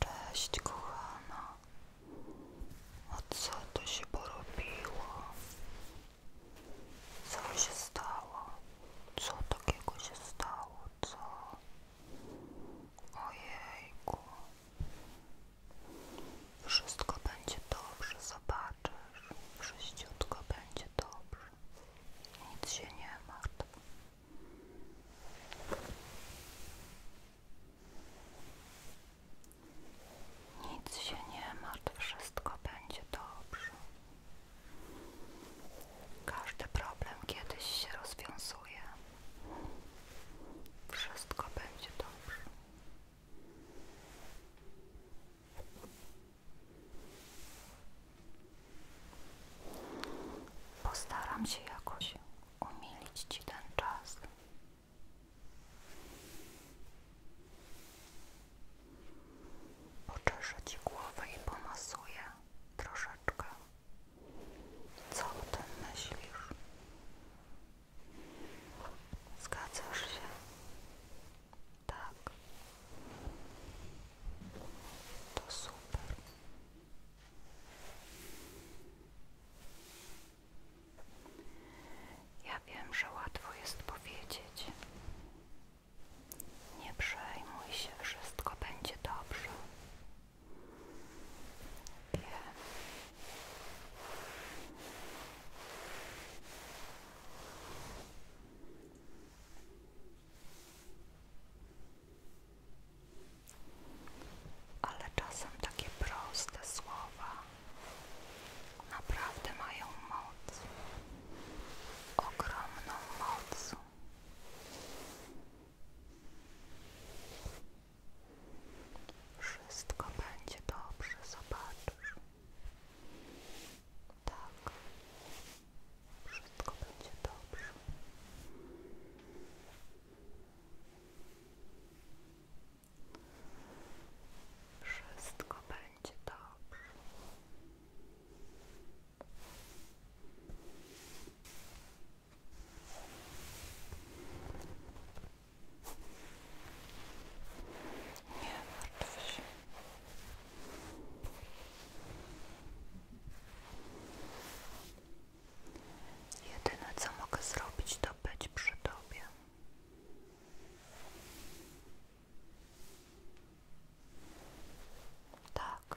Cześć kochana, O co tu się porobiło? Co się stało? Co takiego się stało? Co? Ojejku, wszystko będzie dobrze, zobaczysz, wszystko będzie dobrze, nic się nie martw. Nic się nie martw, wszystko będzie dobrze. Każdy problem kiedyś się rozwiązuje. Wszystko będzie dobrze. Postaram się jakoś umilić Ci ten czas. Oczeszę Ci głowę i pomasuję troszeczkę. Co o tym myślisz? Zgadzasz się? Tak. To super. Ja wiem, że łatwo jest powiedzieć. Nie przejmuj się, wszystko będzie dobrze. Wiem. Ale czasem takie proste słowa naprawdę mają moc, ogromną moc. Wszystko będzie dobrze, zobaczysz. Tak, wszystko będzie dobrze. Wszystko będzie dobrze. Nie martw się. Jedyne co mogę zrobić to być przy Tobie. Tak.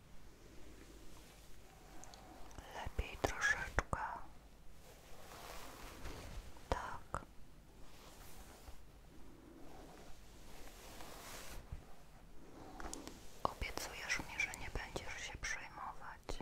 Lepiej troszeczkę. Tak. Obiecujesz mi, że nie będziesz się przejmować.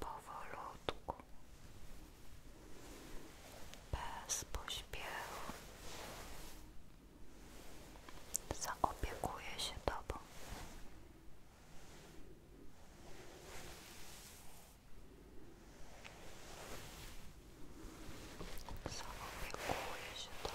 powolutku, bez pośpiechu, zaopiekuję się Tobą. Zaopiekuję się Tobą.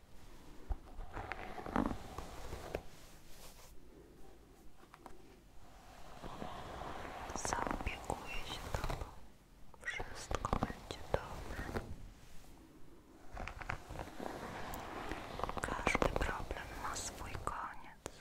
Zaopiekuję się Tobą. Wszystko będzie dobrze. Każdy problem ma swój koniec.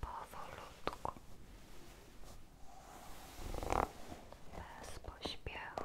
powolutku, bez pośpiechu.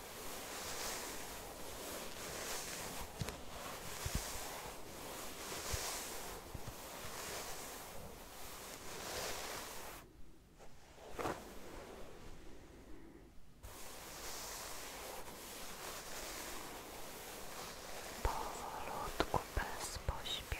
Powolutku, bez pośpiechu.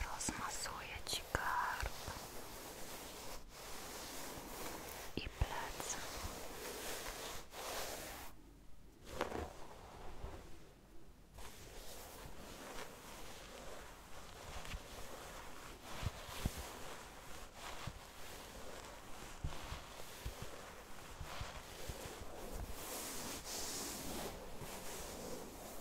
rozmasuję Ci karb i plecy. Dobrze.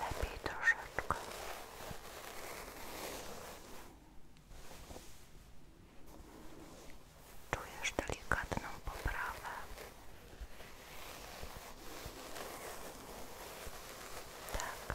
lepiej troszeczkę. Czujesz delikatną poprawę. Tak.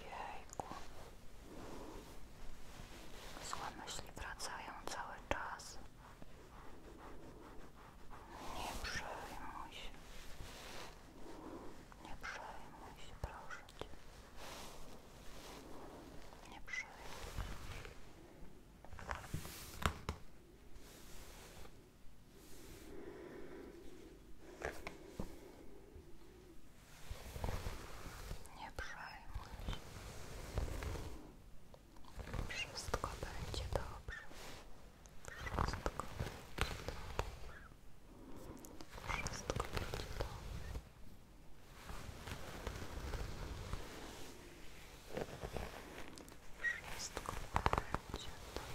Jejku. Złe myśli cały czas. Nie przejmuj się. Nie przejmuj się, proszę Nie przejmuj się. Nie przejmuj Wszystko będzie dobrze. Wszystko będzie dobrze. Wszystko będzie dobrze. Wszystko będzie dobrze.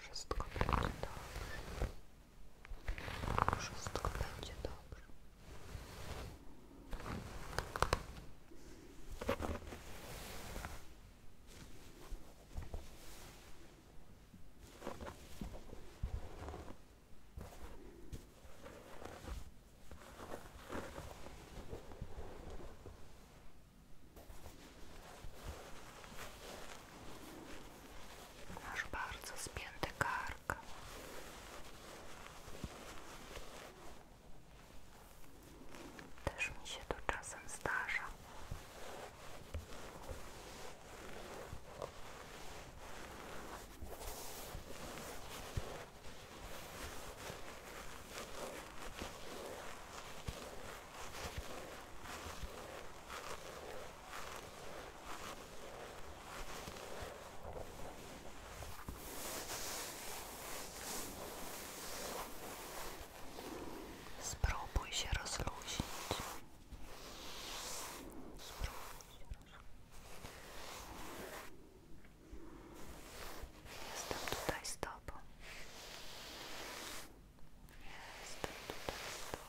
Wszystko będzie dobrze. Wszystko będzie dobrze. Masz bardzo spięte kark. Tak. Też mi się to czasem zdarza. Spróbuj się rozluźnić. Spróbuj się rozluźnić. Jestem tutaj z Tobą. Jestem tutaj z Tobą.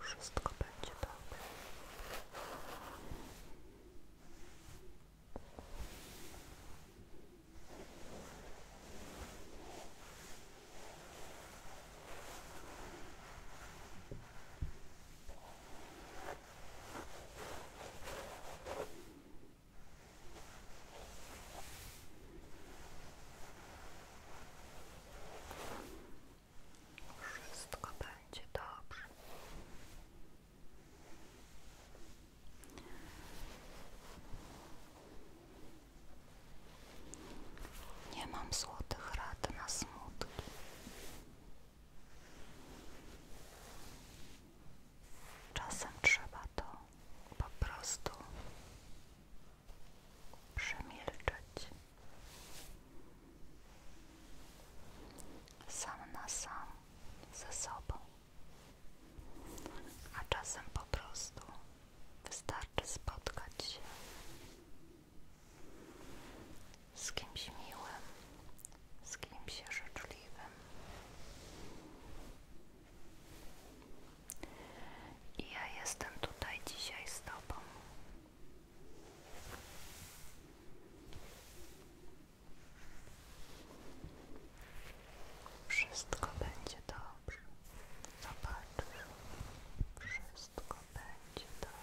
Wszystko będzie dobre. Wszystko będzie dobrze. Nie mam złotych rad na smutki. Czasem trzeba to po prostu przemilczeć. Sam na sam ze sobą, a czasem po prostu wystarczy spotkać się z kimś miłym, z kimś życzliwym. I ja jestem tutaj dzisiaj z Tobą. Wszystko będzie dobrze. Zobacz. Wszystko będzie Dobrze.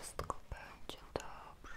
Wszystko będzie dobrze.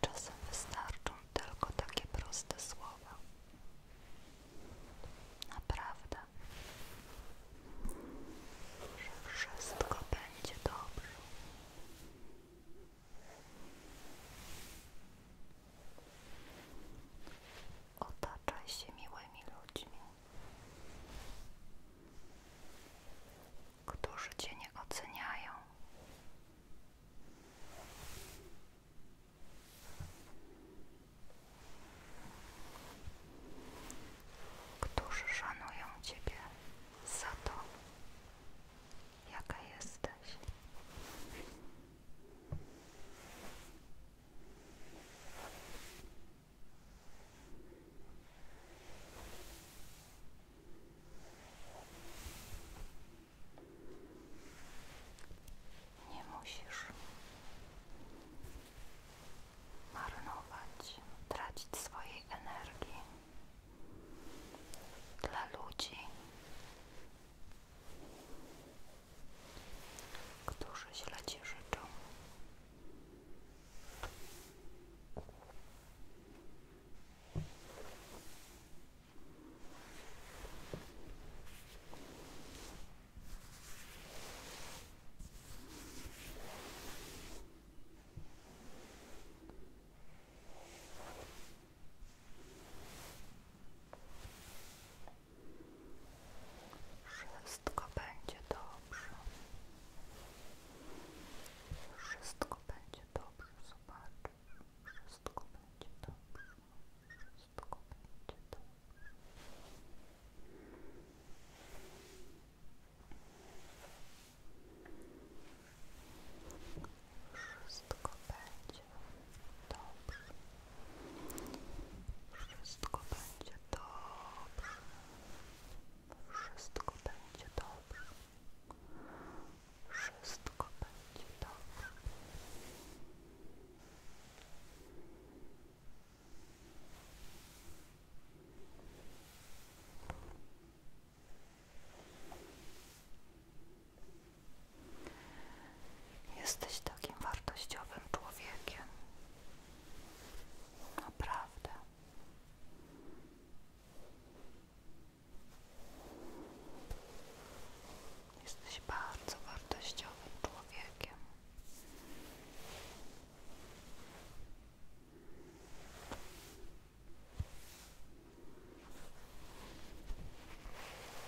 Czasem wystarczą tylko takie proste słowa. Naprawdę, że wszystko będzie dobrze. Otaczaj się miłymi ludźmi, którzy Cię nie oceniają. Którzy szanują Ciebie za to, jaka jesteś. Nie musisz marnować, tracić swojej energii dla ludzi, którzy źle Ci życzą. Wszystko będzie dobrze. Wszystko będzie dobrze, zobaczysz. Wszystko będzie dobrze. Wszystko będzie dobrze. Wszystko będzie dobrze. Wszystko będzie dobrze. Wszystko będzie dobrze. Wszystko będzie dobrze. Jesteś takim wartościowym człowiekiem. Naprawdę. Jesteś bardzo wartościowym człowiekiem.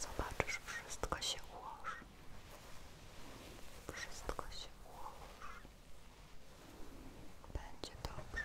Zobaczysz, wszystko się ułoży. Wszystko się ułoży. Będzie dobrze.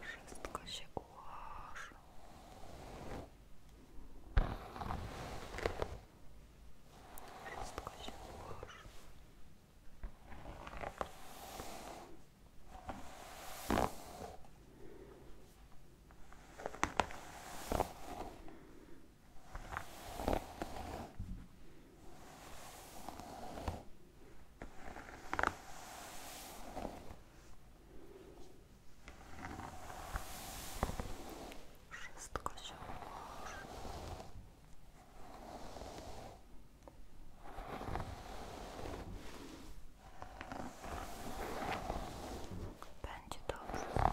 Wszystko się ułoży. Wszystko się ułoży. Wszystko się ułoży. Wszystko się ułoży. Będzie dobrze. Będzie dobrze.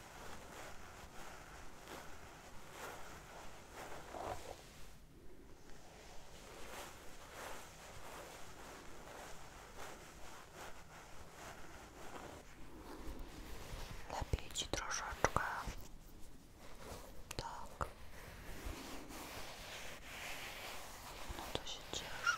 Lepiej ci troszeczkę. Tak. No to się cieszę.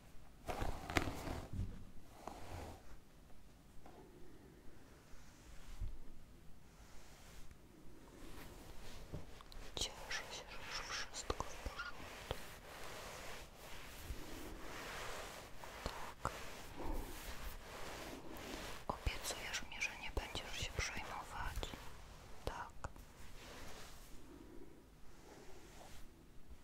Cieszę się, że już wszystko w porządku. Tak. że nie będziesz się przejmować. Tak.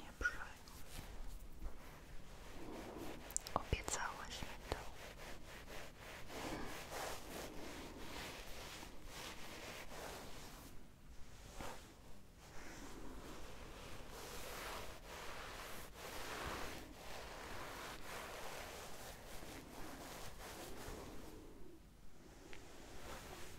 Nie Obiecałaś mi to.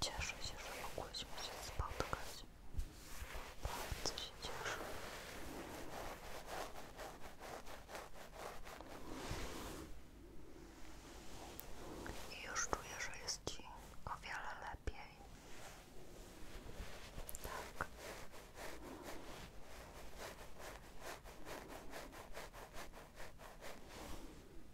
Cieszę się, że mogłyśmy się spotkać. Bardzo się I już czuję, że jest Ci o wiele lepiej. Tak.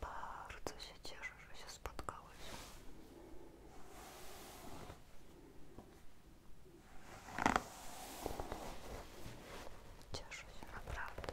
Bardzo się cieszę, że się spotkałeś. Cieszę się naprawdę.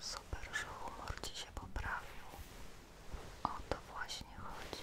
Super, że humor Ci się poprawił. O to właśnie chodzi.